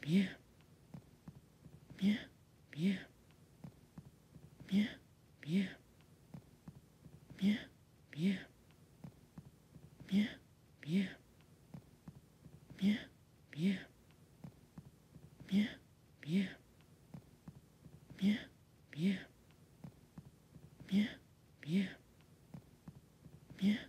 别。н е Мне. Мне. Мне. Мне. Мне.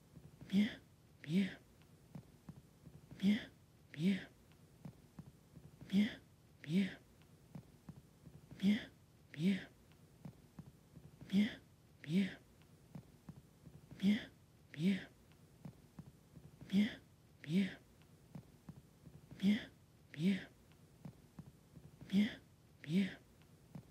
咩咩咩咩咩咩咩咩咩咩咩咩咩咩咩咩咩咩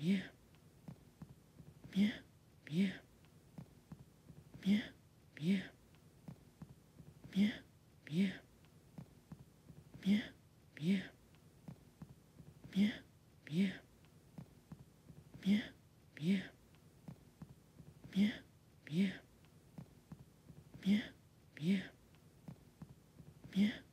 Mia. Mia. Mia. Mia. Mia. m i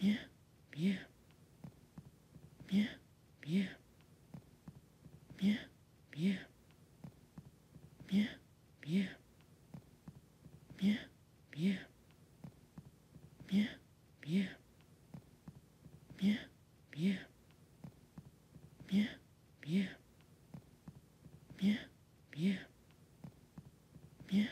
Мя, мя, мя, мя, мя, мя, мя, мя, мя, мя, мя, мя, мя, мя, мя, мя, мя, мя, мя, мя.